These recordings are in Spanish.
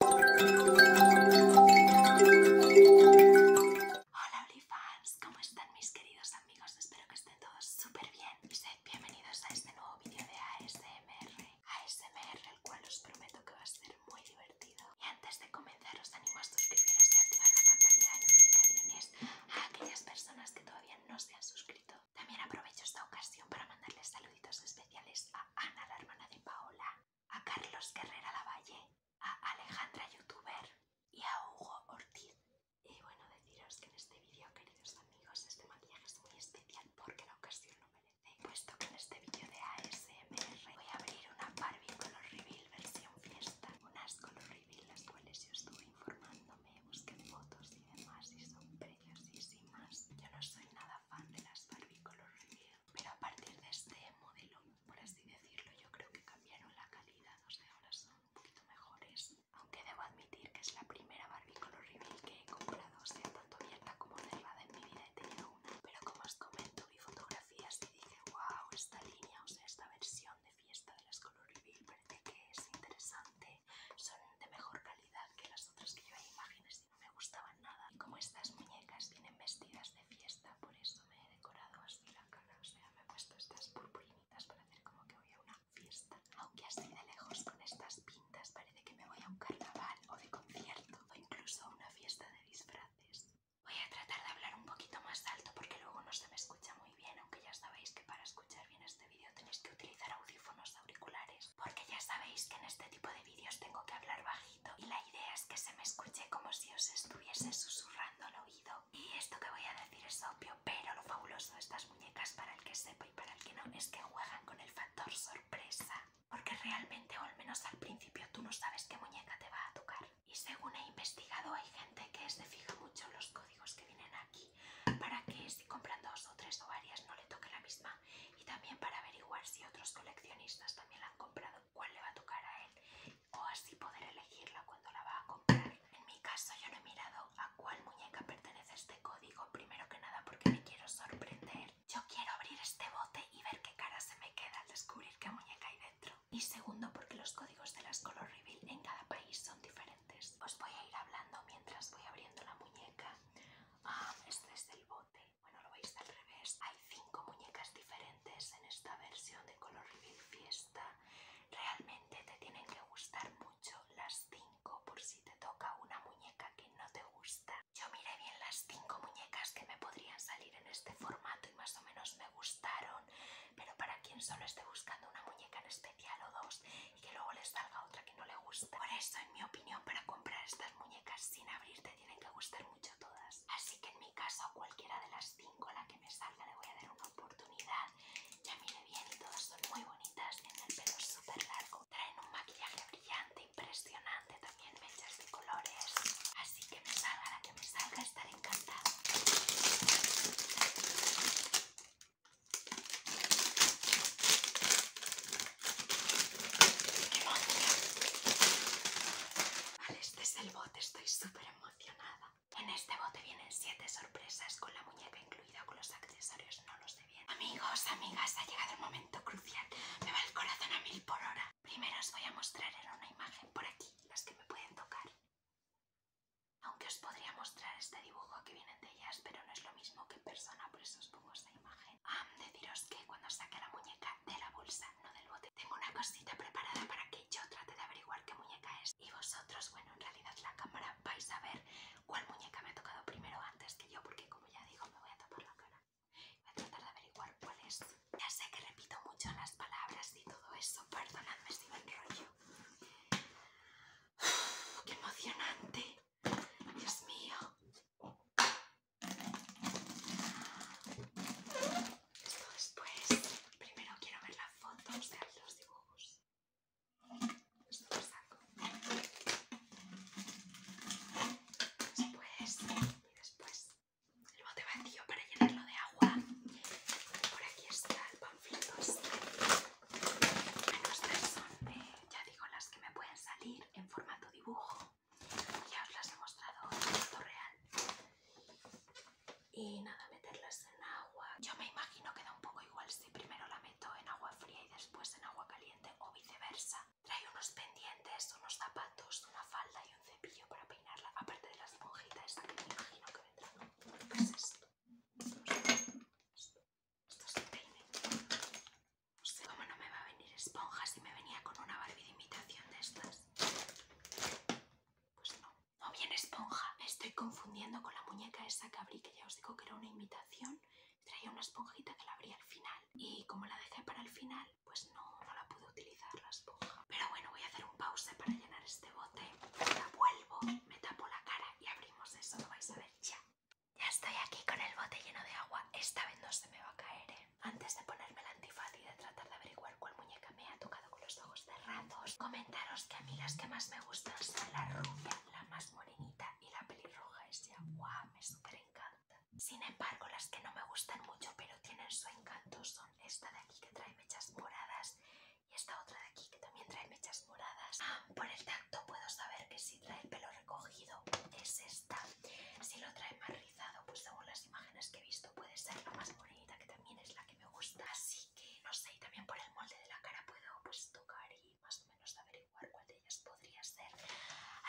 Hola fans, ¿cómo están mis queridos amigos? Espero que estén todos súper bien y bienvenidos a este nuevo vídeo de ASMR. ASMR, el cual os prometo que va a ser muy divertido. Y antes de comenzar os animo a suscribiros y activar la campanita de notificaciones a aquellas personas que todavía no se han suscrito. También aprovecho esta ocasión para mandarles saluditos especiales a Ana, la hermana de Paola, a Carlos Guerrera Lavalle, a Alejandra Youtuber y a Hugo Ortiz. Y bueno, deciros que en este vídeo, queridos amigos, este maquillaje es muy especial porque la ocasión lo merece. Puesto que en este vídeo de ASMR voy a abrir una Barbie Color Reveal versión fiesta. Unas Color Reveal las cuales yo estuve informándome, busqué fotos y demás y son preciosísimas. Yo no soy nada de las Barbie Color Reveal, pero a partir de este modelo, por así decirlo, yo creo que cambiaron la calidad, o sea, ahora son un poquito mejores. Aunque debo admitir que es la primera Barbie Color Reveal que he comprado, o sea, tanto abierta como cerrada en mi vida he tenido una. Pero como os comento, vi fotografías y dije, wow, esta línea, o sea, esta versión de fiesta de las Color Reveal parece que es interesante, son de mejor calidad que las otras que yo he imágenes no me gustaban nada. Y como estas muñecas vienen vestidas de fiesta, por eso me he decorado así la cara. O sea, me he puesto estas purpurinitas para hacer como que voy a una fiesta. Aunque así de lejos con estas pintas parece que me voy a un carnaval o de concierto o incluso a una fiesta de disfraces. Voy a tratar de hablar un poquito más alto porque luego no se me escucha muy bien, aunque ya sabéis que para escuchar bien este vídeo tenéis que utilizar audífonos auriculares porque ya sabéis que en este tipo de vídeos tengo que hablar bajito y la idea es que se me escuche como si os estuviese susurrando al oído. Y esto que voy a decir es obvio, pero lo fabuloso de estas muñecas para el que sepa y para el que no es que juegan con el factor sorpresa, porque realmente o al menos al principio tú no sabes qué muñeca te va a tocar. Y según he investigado hay gente que se fija mucho en los códigos que vienen aquí para que si compran dos o tres o varias no le toque la misma y también para averiguar si otros coleccionistas también la han comprado, cuál le va a tocar a él o así poder elegirla cuando la va a comprar. En mi caso yo no he mirado a cuál muñeca pertenece este código, primero que nada porque me quiero sorprender. Yo quiero abrir este bote y ver qué cara se me queda al descubrir qué muñeca hay dentro. Y segundo porque los códigos de las Color Reveal en cada país son diferentes. Os voy a ir hablando mientras voy abriendo la muñeca. Ah, este es el bote. Bueno, lo veis al revés. Hay cinco muñecas diferentes en esta versión de Color Reveal Fiesta. Realmente te tienen que gustar mucho las cinco por si te toca una muñeca que no te gusta. Yo miré bien las cinco muñecas que me podrían salir en este formato y más o menos me gustaron, pero para quien solo esté buscando una muñeca en especial o dos y que luego les salga otra que no le gusta. Por eso en mi opinión, para comprar estas muñecas sin abrirte tienen que gustar mucho todas. Así que en mi caso cualquiera de las cinco, la que me salga, le voy a dar una oportunidad. Ya mire bien y todas son muy bonitas, tienen el pelo súper largo. Traen un maquillaje brillante, impresionante, también mechas de colores. Así que me salga la que me salga, estaré encantada. Vale, este es el bote, estoy súper emocionada. En este bote vienen 7 sorpresas con la muñeca incluida, con los accesorios, no los sé bien. Amigos, amigas, ha llegado el momento crucial. Me va el corazón a mil por hora. Primero os voy a mostrar en una imagen por aquí las que me pueden tocar. Aunque os podría mostrar este dibujo que vienen de ellas, pero no es lo mismo que en persona, por eso os pongo esta imagen. Ah, deciros que cuando saque la muñeca de la bolsa, no del bote, tengo una cosita preparada para que yo trate de averiguar qué muñeca es. Y vosotros, bueno, en realidad la cámara vais a ver cuál muñeca me ha tocado primero antes que yo, porque como ya digo, me voy a tapar la cara. Voy a tratar de averiguar cuál es. Ya sé que repito mucho las palabras y todo eso, perdonadme si me enrollo. ¡Qué emocionante! Dios mío. Esto después. Primero quiero ver las fotos de los dibujos. Esto lo saco. Después y después. El bote vacío para llenarlo de agua. Por aquí está el panfleto. Este. Bueno, estas son, eh, ya digo, las que me pueden salir en formato dibujo. Ya os las he mostrado en esto real. Y nada, meterlas en agua. Yo me imagino que da un poco igual si primero la meto en agua fría y después en agua caliente o viceversa. Trae unos pendientes, unos zapatos, una falda y un cepillo para peinarla. Aparte de la esponjita esa que me imagino que vendrá. es esto. Esto es el peine. No sé cómo no me va a venir esponja si me venía con una Barbie de imitación de estas. Pues no. No viene esponja. estoy confundiendo con la muñeca esa que abrí, que ya os digo que era una imitación. Traía una esponjita que la abrí al final. Y como la dejé para el final, pues no, no la pude utilizar la esponja. Pero bueno, voy a hacer un pause para llenar este bote. La vuelvo, me tapo la cara y abrimos eso. Lo vais a ver ya. Ya estoy aquí con el bote lleno de agua. Esta vez no se me va a caer, ¿eh? Antes de ponerme el antifaz y de tratar de averiguar cuál muñeca me ha tocado con los ojos cerrados, comentaros que a mí las que más me gustan son la rubia, la más morenita y la pelirruja. Es ya, me súper encanta. Sin embargo, las que no me gustan mucho pero tienen su encanto son esta de aquí que trae mechas moradas y esta otra de aquí que también trae mechas moradas. Ah, por el tacto puedo saber que sí si trae el pelo recogido es esta. Si lo trae más rizado, pues según las imágenes que he visto puede ser la más bonita que también es la que me gusta. Así que no sé, y también por el molde de la cara puedo pues tocar y más o menos averiguar cuál de ellas podría ser.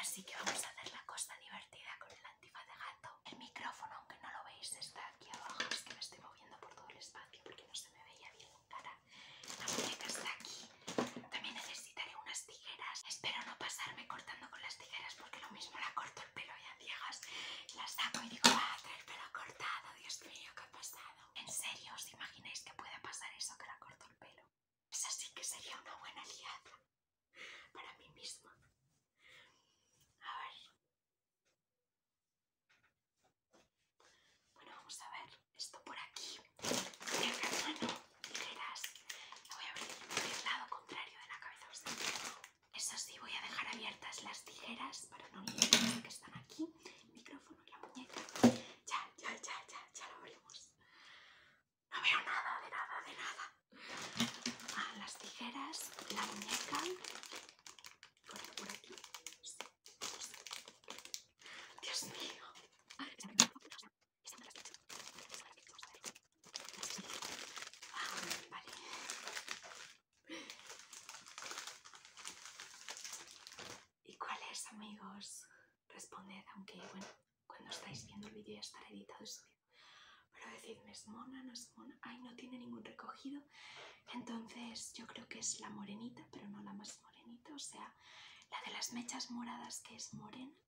Así que vamos a hacer la cosa divertida con el antifaz de gato. El micrófono, aunque no lo veis, está aquí abajo. Es que me estoy moviendo por todo el espacio porque no se me veía bien la cara. La muñeca está aquí. También necesitaré unas tijeras. Espero no pasarme cortando con las tijeras porque lo mismo la corto el pelo y a ciegas la saco y digo, ah, trae el pelo cortado, Dios mío, qué ha pasado. En serio, ¿os imagináis que pueda pasar eso que la corto el pelo? Es así que sería una buena liada para mí misma. A ver. Bueno, vamos a ver esto por aquí. el tijeras. le voy a abrir por el lado contrario de la cabeza. Eso sí, voy a dejar abiertas las tijeras para no olvidar que están aquí. micrófono y la muñeca. Ya, ya, ya, ya, ya lo abrimos. No veo nada, de nada, de nada. Ah, las tijeras, la muñeca. Por aquí, sí. Dios mío. Ah, vale. ¿Y cuál es, amigos? Responded, aunque bueno, cuando estáis viendo el vídeo ya estará editado y subido. Pero decidme, ¿es mona? ¿No es mona? Ay, no tiene ningún recogido. Entonces yo creo que es la morenita, pero no la más morenito, o sea, la de las mechas moradas que es morena,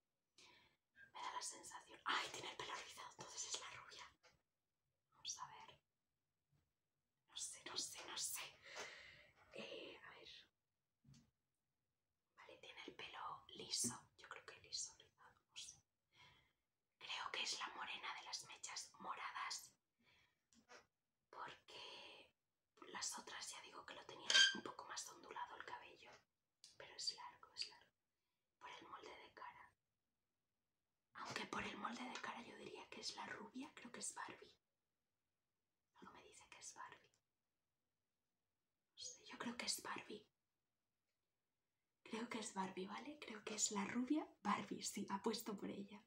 me da la sensación... ¡Ay, tiene el pelo rizado! Entonces es la rubia. Vamos a ver. No sé, no sé, no sé. Eh, a ver. Vale, tiene el pelo liso. Yo creo que liso, rizado, no sé. Creo que es la morena de las mechas moradas porque las otras ya digo que lo tenían un poco más ondulado el cabello, pero es largo, es largo, por el molde de cara. Aunque por el molde de cara yo diría que es la rubia, creo que es Barbie. Algo me dice que es Barbie. yo creo que es Barbie. Creo que es Barbie, ¿vale? Creo que es la rubia Barbie, sí, puesto por ella.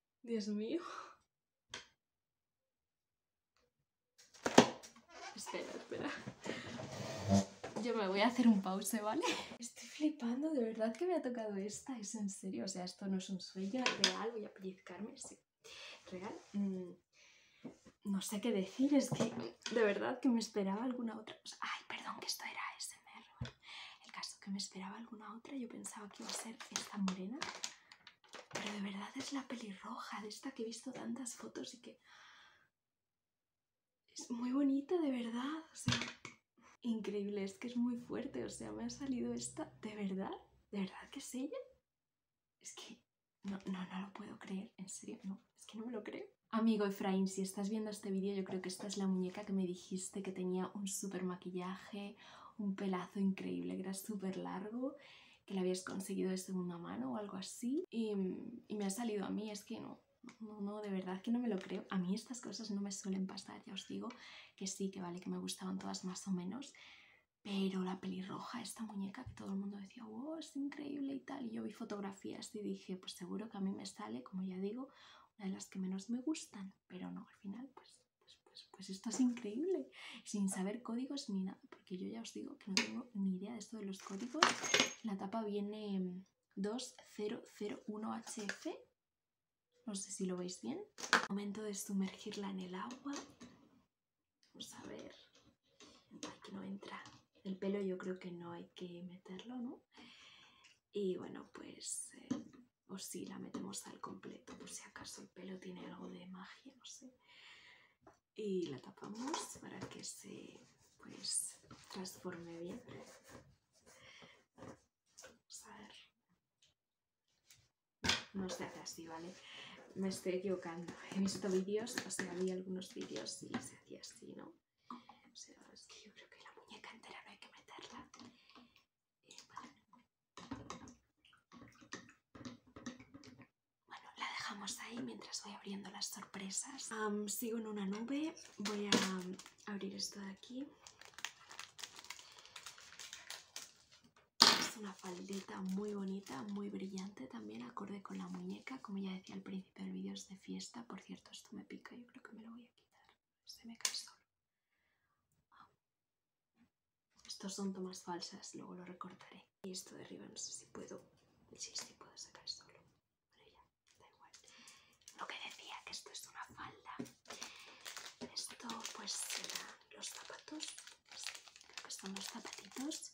Dios mío. Espera, espera. Yo me voy a hacer un pause, ¿vale? Estoy flipando, de verdad que me ha tocado esta, es en serio, o sea, esto no es un sueño, real, voy a pellizcarme, sí. Real. Mm, no sé qué decir, es que de verdad que me esperaba alguna otra. ay, perdón, que esto era SMR. El caso que me esperaba alguna otra, yo pensaba que iba a ser esta morena, pero de verdad es la pelirroja de esta que he visto tantas fotos y que... Es muy bonita, de verdad. O sea, increíble, es que es muy fuerte. O sea, me ha salido esta. ¿De verdad? ¿De verdad que es ella? Es que no, no, no lo puedo creer. En serio, no. Es que no me lo creo. Amigo Efraín, si estás viendo este vídeo, yo creo que esta es la muñeca que me dijiste que tenía un super maquillaje, un pelazo increíble que era súper largo, que lo habías conseguido de segunda mano o algo así. Y, y, me ha salido a mí, es que no, no, no, de verdad que no me lo creo. A mí estas cosas no me suelen pasar, ya os digo que sí, que vale, que me gustaban todas más o menos. Pero la pelirroja, esta muñeca que todo el mundo decía, wow, es increíble y tal. Y yo vi fotografías y dije, pues seguro que a mí me sale, como ya digo, una de las que menos me gustan. Pero no, al final, pues pues, pues, esto es increíble, sin saber códigos ni nada, porque yo ya os digo que no tengo ni idea de esto de los códigos. La tapa viene 2001HF, no sé si lo veis bien. Momento de sumergirla en el agua. Vamos a ver, que no entra. El pelo yo creo que no hay que meterlo, ¿no? Y bueno, pues eh, o si la metemos al completo por si acaso el pelo tiene algo de magia, no sé. Y la tapamos para que se pues transforme bien. Vamos a ver. No se hace así, ¿vale? Me estoy equivocando. He visto vídeos, o sea, había algunos vídeos y se hacía así, ¿no? O sea, es que yo creo que la muñeca entera no hay que meterla bueno, la dejamos ahí mientras voy abriendo las sorpresas. sigo en una nube. Voy a abrir esto de aquí. Es una faldita muy bonita, muy brillante también, acorde con la muñeca. Como ya decía al principio del vídeo, es de fiesta. Por cierto, esto me pica, yo creo que me lo voy a quitar se me cae solo. Ah. Estos son tomas falsas, luego lo recortaré. Y esto de arriba no sé si puedo, sí, sí puedo sacar solo. Pero ya, da igual. Lo que decía, que esto es una falda. Esto pues serán los zapatos. creo que son los zapatitos.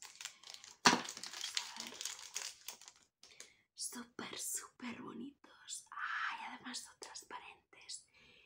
Vamos a ver. Súper, súper bonitos. Ay, además son transparentes.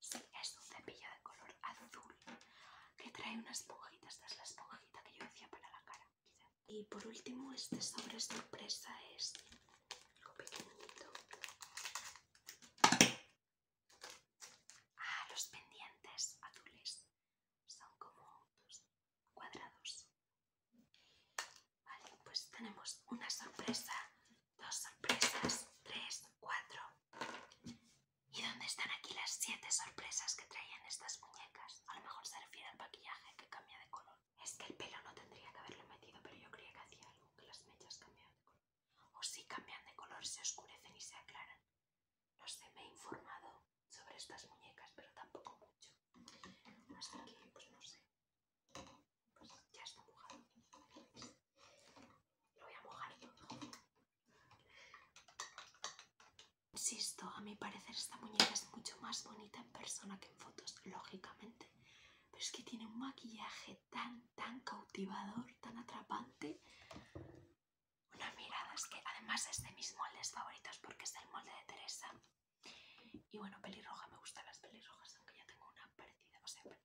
Sí, es un cepillo de color azul que trae una esponjita. Esta es la esponjita que yo hacía para la cara. Y por último, este sobre sorpresa es algo pequeñito. Ah, los pendientes azules son como cuadrados. Vale, pues tenemos una sorpresa dos sorpresas, tres, cuatro. ¿Y dónde están aquí las siete sorpresas que traían estas muñecas? A lo mejor se refiere al maquillaje que cambia de color. Es que el pelo no tendría que haberlo metido, pero yo creía que hacía algo, que las mechas cambiaban de color. O si cambian de color, se oscurecen y se aclaran. No sé, me he informado sobre estas muñecas, pero tampoco mucho. hasta que, pues no sé. Pues ya está mojado. Lo voy a mojar. Insisto, a mi parecer esta muñeca es mucho más bonita en persona que en fotos, lógicamente. Pero es que tiene un maquillaje tan, tan cautivador, tan atrapante. Una mirada es que además es de mis moldes favoritos porque es el molde de Teresa. Y bueno, pelirroja, me gustan las pelirrojas, aunque ya tengo una parecida, o sea,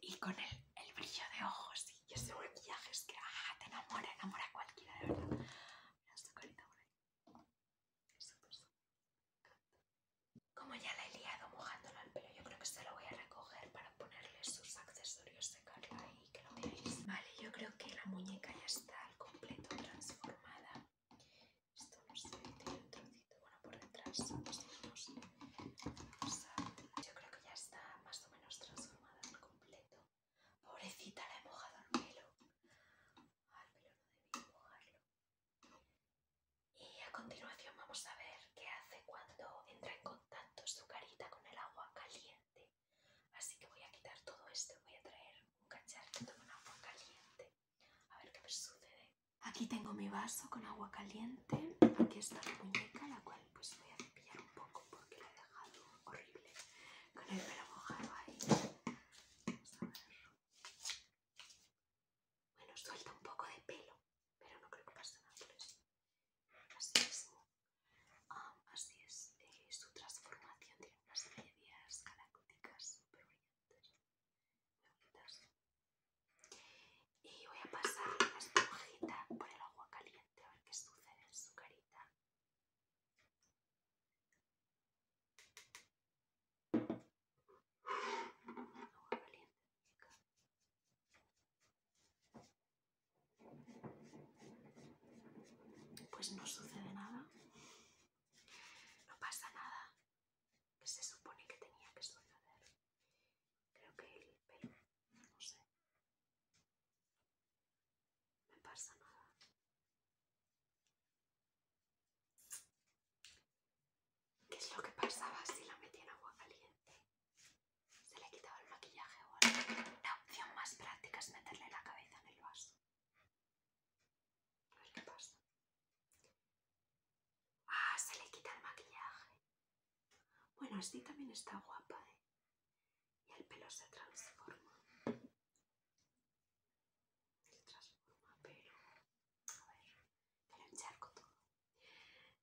y con el, brillo de ojos y ese maquillaje es que ah, te enamora, enamora cualquiera, de verdad. Mira esta carita por ahí. Como ya la he liado mojándolo el pelo, yo creo que se lo voy a recoger para ponerle sus accesorios de ahí y que lo veáis. Vale, yo creo que la muñeca ya está al completo transformada. Esto no tiene otro bueno por detrás o sea, yo creo que ya está más o menos transformada al completo pobrecita la he mojado al pelo al pelo no debí mojarlo y a continuación vamos a ver qué hace cuando entra en contacto su carita con el agua caliente así que voy a quitar todo esto voy a traer un cacharrito con agua caliente a ver qué me sucede Aquí tengo mi vaso con agua caliente. Aquí está la muñeca, la cual pues voy a cepillar un poco porque la he dejado horrible con el pelo mojado ahí. Vamos a ver. Bueno, suelta un poco de pelo, pero no creo que pase nada por eso. Así es. Ah, así es. Eh, su transformación tiene unas medias galácticas súper brillantes. Y voy a pasar la esponjita por el agua caliente a ver qué sucede en su carita. Pues no sucede nada. No pasa nada. Que se supone que tenía que suceder. Creo que el pelo, no sé. Me pasa nada. ¿Qué es lo que pasaba si la metía en agua caliente? Se le quitaba el maquillaje o algo. La opción más práctica es meterle la cabeza en el vaso. A qué pasa. Ah, se le quita el maquillaje. Bueno, así también está guapa, ¿eh? Y el pelo se transforma. Se transforma, pero... A ver, te lo encharco todo.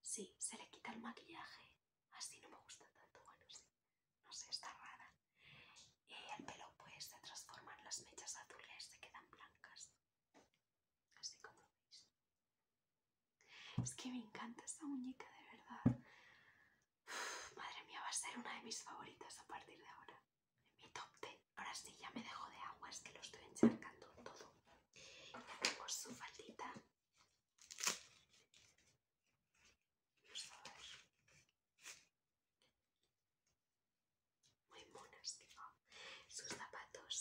Sí, se le quita el maquillaje. Así no me gusta tanto, bueno, sí. No sé, está rara. Y el pelo pues se transforma en las mechas azules, se quedan blancas. Así como veis. Es que me encanta esta muñeca, de verdad. madre mía, va a ser una de mis favoritas a partir de ahora. Mi top 10. Ahora sí, ya me dejo de agua, es que lo estoy encharcando todo. Por su faldita muy monas, Sus zapatos,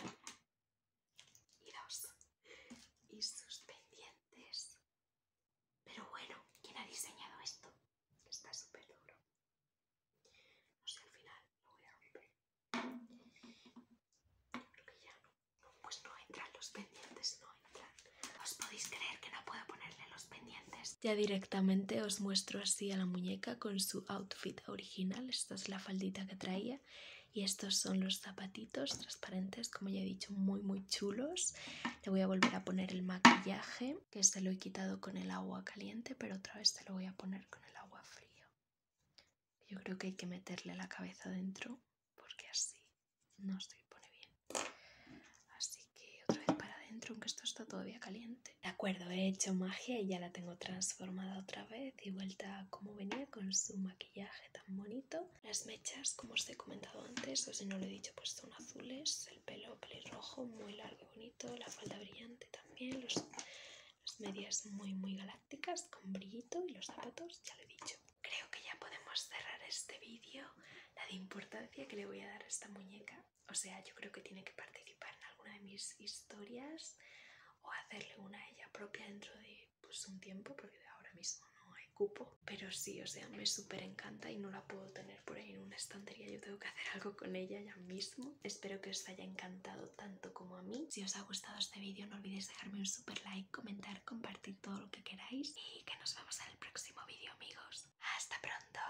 uno y dos. Y sus pendientes. Pero bueno, ¿quién ha diseñado esto? Está súper duro. No sé, al final lo voy a romper. Creo que ya no. Pues no entran los pendientes, no entran. ¿Os podéis creer que no puedo ponerle los pendientes? Ya directamente os muestro así a la muñeca con su outfit original, esta es la faldita que traía y estos son los zapatitos transparentes, como ya he dicho, muy muy chulos. Le voy a volver a poner el maquillaje, que se este lo he quitado con el agua caliente, pero otra vez te lo voy a poner con el agua fría. Yo creo que hay que meterle la cabeza adentro porque así no se pone bien. Así que otra vez para adentro, aunque esto está todavía caliente. De acuerdo, he hecho magia y ya la tengo transformada otra vez y vuelta como venía con su maquillaje tan bonito. Las mechas, como os he comentado antes, o si no lo he dicho, pues son azules, el pelo pelirrojo, muy largo y bonito, la falda brillante también, las medias muy muy galácticas con brillito y los zapatos, ya lo he dicho. Creo que ya podemos cerrar este vídeo, la de importancia que le voy a dar a esta muñeca o sea, yo creo que tiene que participar en alguna de mis historias o hacerle una a ella propia dentro de pues, un tiempo, porque ahora mismo no hay cupo. Pero sí, o sea, me súper encanta y no la puedo tener por ahí en una estantería. Yo tengo que hacer algo con ella ya mismo. Espero que os haya encantado tanto como a mí. Si os ha gustado este vídeo, no olvidéis dejarme un super like, comentar, compartir todo lo que queráis. Y que nos vemos en el próximo vídeo, amigos. ¡Hasta pronto!